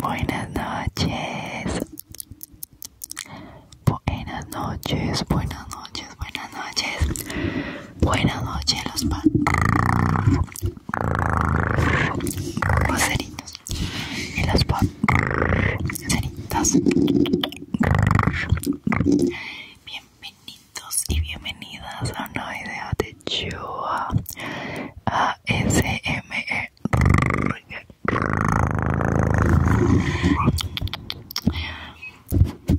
Buenas noches. Buenas noches, buenas noches, buenas noches. Buenas noches, los Los los y pan Bien. Bienvenidos y bienvenidas a un nuevo video de Chua ASMR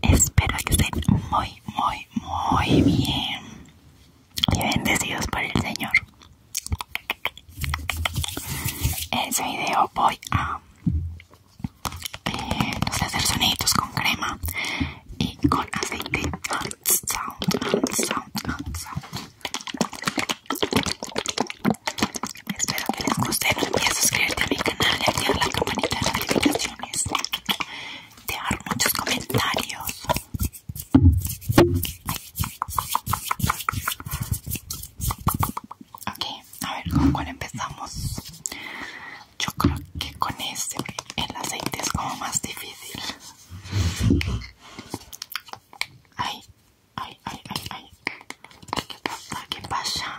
e Espero que estén muy, muy, muy bien y bendecidos por el Señor. En este video voy a los eh, no hacer soniditos con crema y con aceite Espero que les guste, no olvides suscribirte a mi canal y activar la campanita de notificaciones Dejar muchos comentarios Ok, a ver con cuál empezamos. Yo creo que con este, el aceite es como más difícil. Ay, ay, ay, ay, ay. ¿Qué pasa?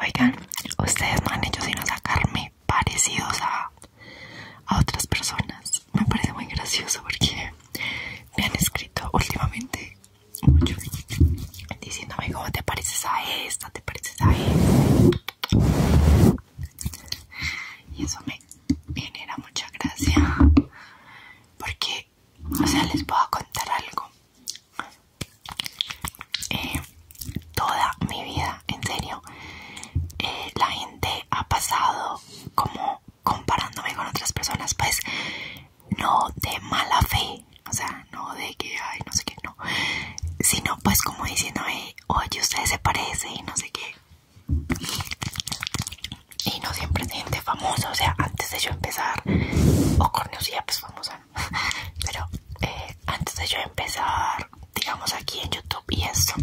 Oigan, ustedes no han hecho sino sacarme parecidos a, a otras personas. Me parece muy gracioso porque me han escrito últimamente diciendo diciéndome cómo te pareces a esta, te pareces a esta y eso me genera mucha gracia porque o sea les voy a contar algo eh, toda mi vida en serio eh, la gente ha pasado como comparándome con otras personas pues no de mala fe o sea no de que ay no sé qué no sino pues como diciéndome o oye, ¿ustedes se parece y no sé qué. Y no siempre es gente famosa, o sea, antes de yo empezar, o Corneusía, pues famosa, pero eh, antes de yo empezar, digamos aquí en YouTube y eso.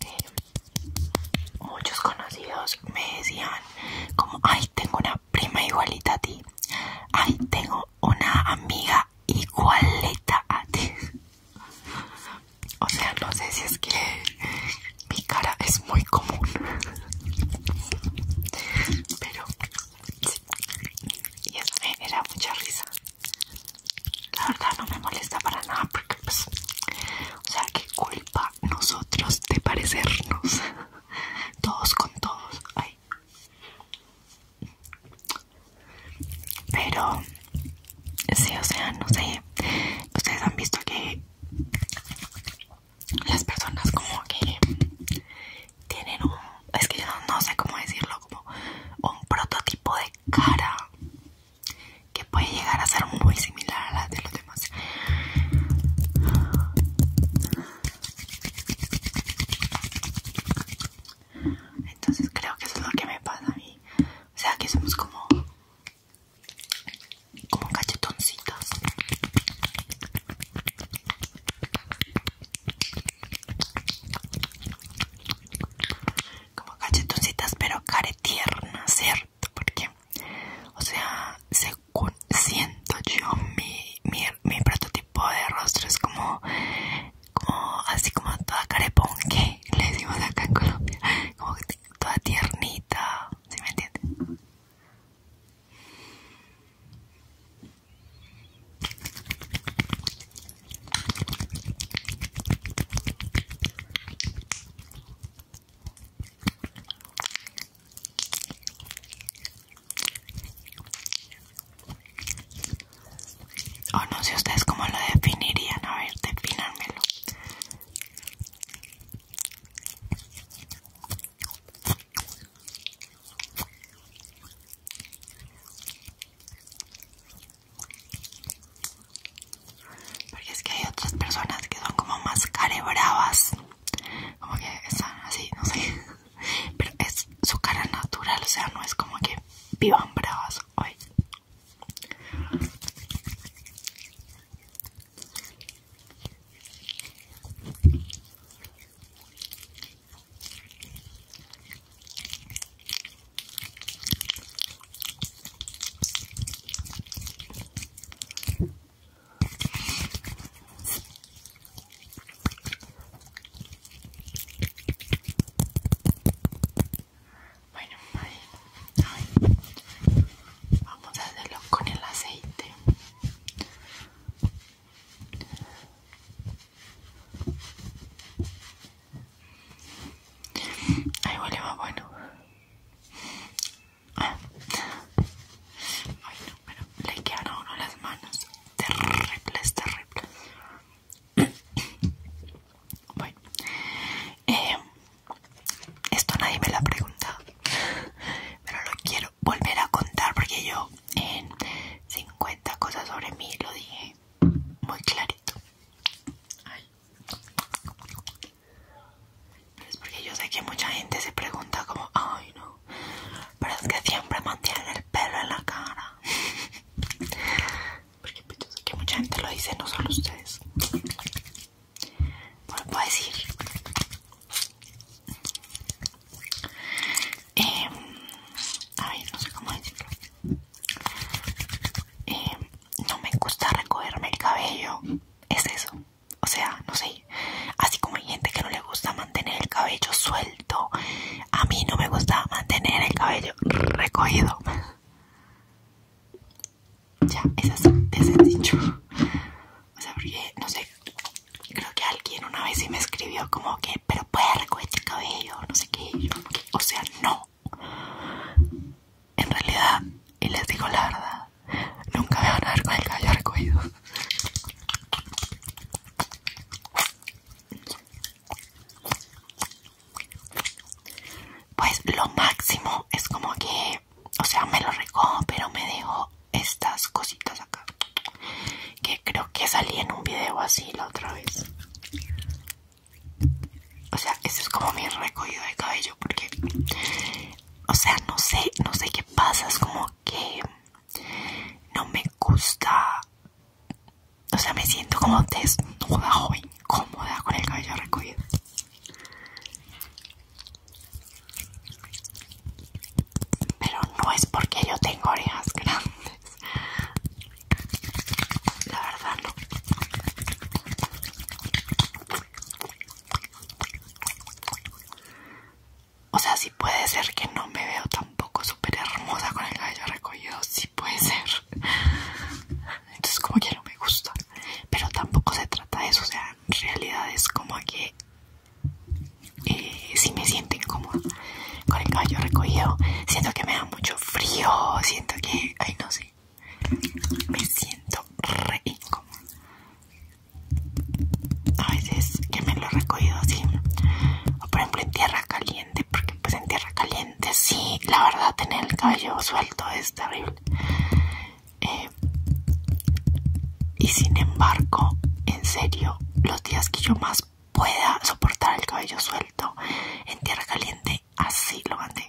Eh, muchos conocidos me decían como, ay, tengo una prima igualita a ti, ay, tengo una amiga igualita a ti. O sea, no sé si es que mi cara es muy común. Pero Y eso me genera mucha risa. La verdad no me molesta para nada porque pues... O sea, qué culpa nosotros de parecernos. Todos con todos. Ay, pero, sí, o sea, no sé. Ustedes han visto que las personas como que tienen un... Es que yo no, no sé cómo decirlo, como un prototipo de cara que puede llegar a ser muy similar a la de los demás. Entonces creo que eso es lo que me pasa a mí. O sea, que somos como... Como cachetoncitas. Como cachetoncitas, pero tierna ¿cierto? Porque, o sea, siento yo, mi, mi, mi prototipo tipo de rostro es como así como toda carepón que le decimos acá en Colombia, como toda tiernita, ¿sí me o oh, no sé ustedes cómo lo definirían. A ver, definármelo. Porque es que hay otras personas que son como más carebravas. Como que están así, no sé. Pero es su cara natural, o sea, no es como que vivan bravas hoy. Bueno, ay, vamos a hacerlo con el aceite. Ahí huele bueno. Ay, no, pero le quedan a uno las manos terribles, terribles. Bueno, eh, esto nadie me lo ha preguntado, pero lo quiero volver a contar porque yo en 50 cosas sobre mí lo dije muy clarito. Ay. Es porque yo sé que mucha gente se pregunta como, ay no, pero es que siempre mantienen el pelo en la cara. porque pues, yo sé que mucha gente lo dice, no solo ustedes. puedo decir. Em, a ver, no sé cómo decirlo. Em, no me gusta recogerme el cabello. Es eso. O sea, no sé. Así como hay gente que no le gusta mantener el cabello suelto, a mí no me gusta mantener el cabello recogido. Ya, es dicho. O sea, porque, no sé, creo que alguien una vez sí me escribió como que, pero puedes recoger el cabello, no sé qué. o sea, no. En realidad, y les digo la verdad, Nunca me van a ver el cabello recogido. Pues lo máximo es como que, o sea, me lo recojo, pero me dejo estas cositas acá. Que creo que salí en un video así la otra vez. O sea, este es como mi recogido de cabello porque o sea, no sé, no sé qué pasa, es como que no me gusta, o sea, me siento como desnuda o incómoda con el cabello recogido. Pero no es porque yo tengo orejas grandes. La verdad no. O sea, si puede ser que no me veo tampoco súper hermosa con el cabello recogido, Si puede ser. Entonces como que no me gusta. Pero tampoco se trata de eso, o sea, en realidad es como que eh, si me siento incómoda con el cabello recogido, siento que me da mucho frío, siento que, ay no sé, me siento re incómoda. A veces que me lo he recogido así, o por ejemplo en tierra caliente, porque pues en tierra caliente sí, la verdad tener el cabello suelto es terrible. Eh, y sin embargo, en serio, los días que yo más pueda soportar el cabello suelto en tierra caliente, así lo mantengo.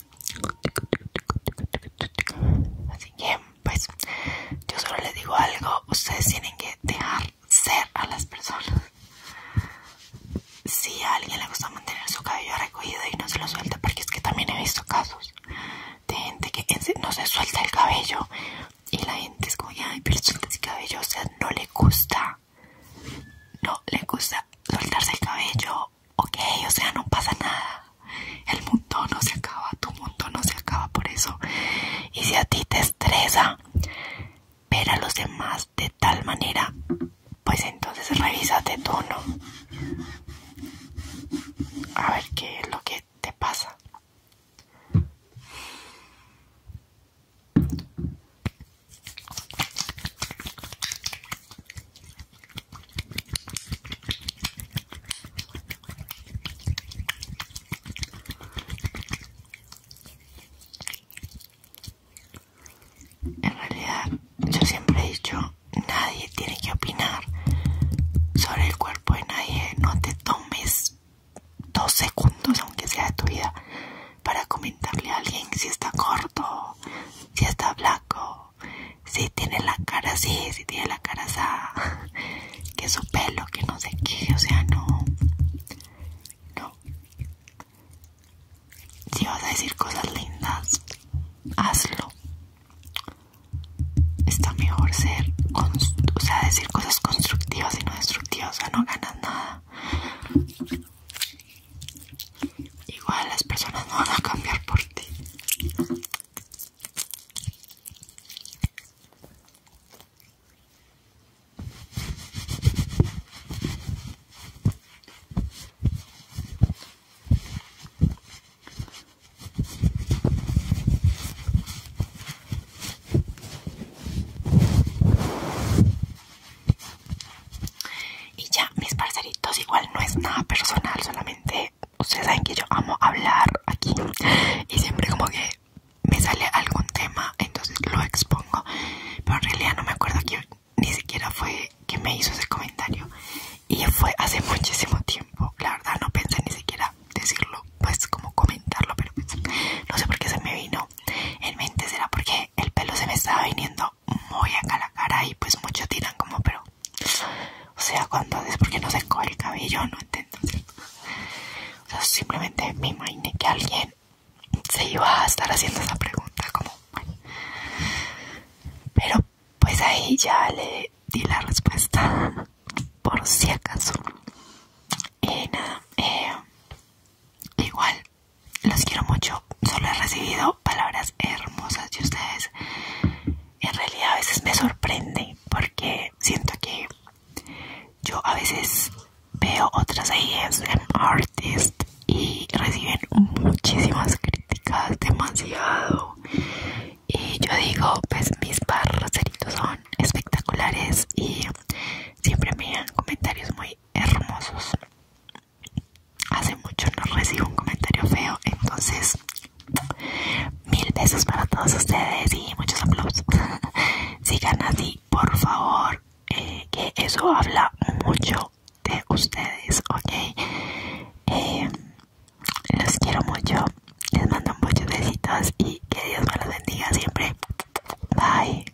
Así que, pues, yo solo les digo algo, ustedes tienen que dejar ser a las personas. Si a alguien le gusta mantener su cabello recogido y no se lo suelta, porque es que también he visto casos de gente que no se suelta el cabello y la gente es como, ay, pero suelta ese cabello, o sea, no le gusta, no le gusta soltarse el cabello ok, o sea, no pasa nada. El mundo no se acaba, tu mundo no se acaba por eso. Y si a ti te estresa ver a los demás de tal manera, pues entonces revisate tú, ¿no? A ver qué es lo que te pasa. En realidad, yo siempre he dicho, nadie tiene que opinar sobre el cuerpo de nadie. No te tomes dos segundos, aunque sea de tu vida, para comentarle a alguien si está corto, si está blanco, si tiene la cara así, si tiene la cara que su pelo, que no se qué, o sea, no, no. Si vas a decir cosas lindas, hazlo. Está mejor ser, o sea, decir cosas constructivas y no destructivas, o no ganas nada. Igual las personas no van a cambiar por ti. Y ya, mis parceritos, igual no es nada personal, solamente ustedes saben que yo amo hablar aquí y siempre como que me sale algún tema, entonces lo expongo, pero en realidad no me acuerdo que ni siquiera fue que me hizo ese comentario y fue hace muchísimo tiempo, la verdad no pensé ni siquiera decirlo, pues como comentarlo, pero pues, no sé por qué se me vino en mente, será porque el pelo se me estaba viniendo muy acá a la cara y pues muchos tiran como pero o sea cuando es porque no se coge el cabello no entiendo o sea simplemente me imaginé que alguien se iba a estar haciendo esa pregunta como pero pues ahí ya le di la respuesta por si acaso Y nada eh, igual los quiero mucho. Solo he recibido palabras hermosas de ustedes. En realidad a veces me sorprende porque siento que yo a veces veo otras ASM artist y reciben muchísimas críticas, demasiado. Y yo digo, pues mis parceritos son espectaculares y siempre me dan comentarios muy hermosos hace mucho no recibo un comentario feo, entonces mil besos para todos ustedes y muchos aplausos. Sigan así, por favor, eh, que eso habla mucho de ustedes, ¿ok? Eh, los quiero mucho, les mando muchos besitos y que Dios me los bendiga siempre. Bye.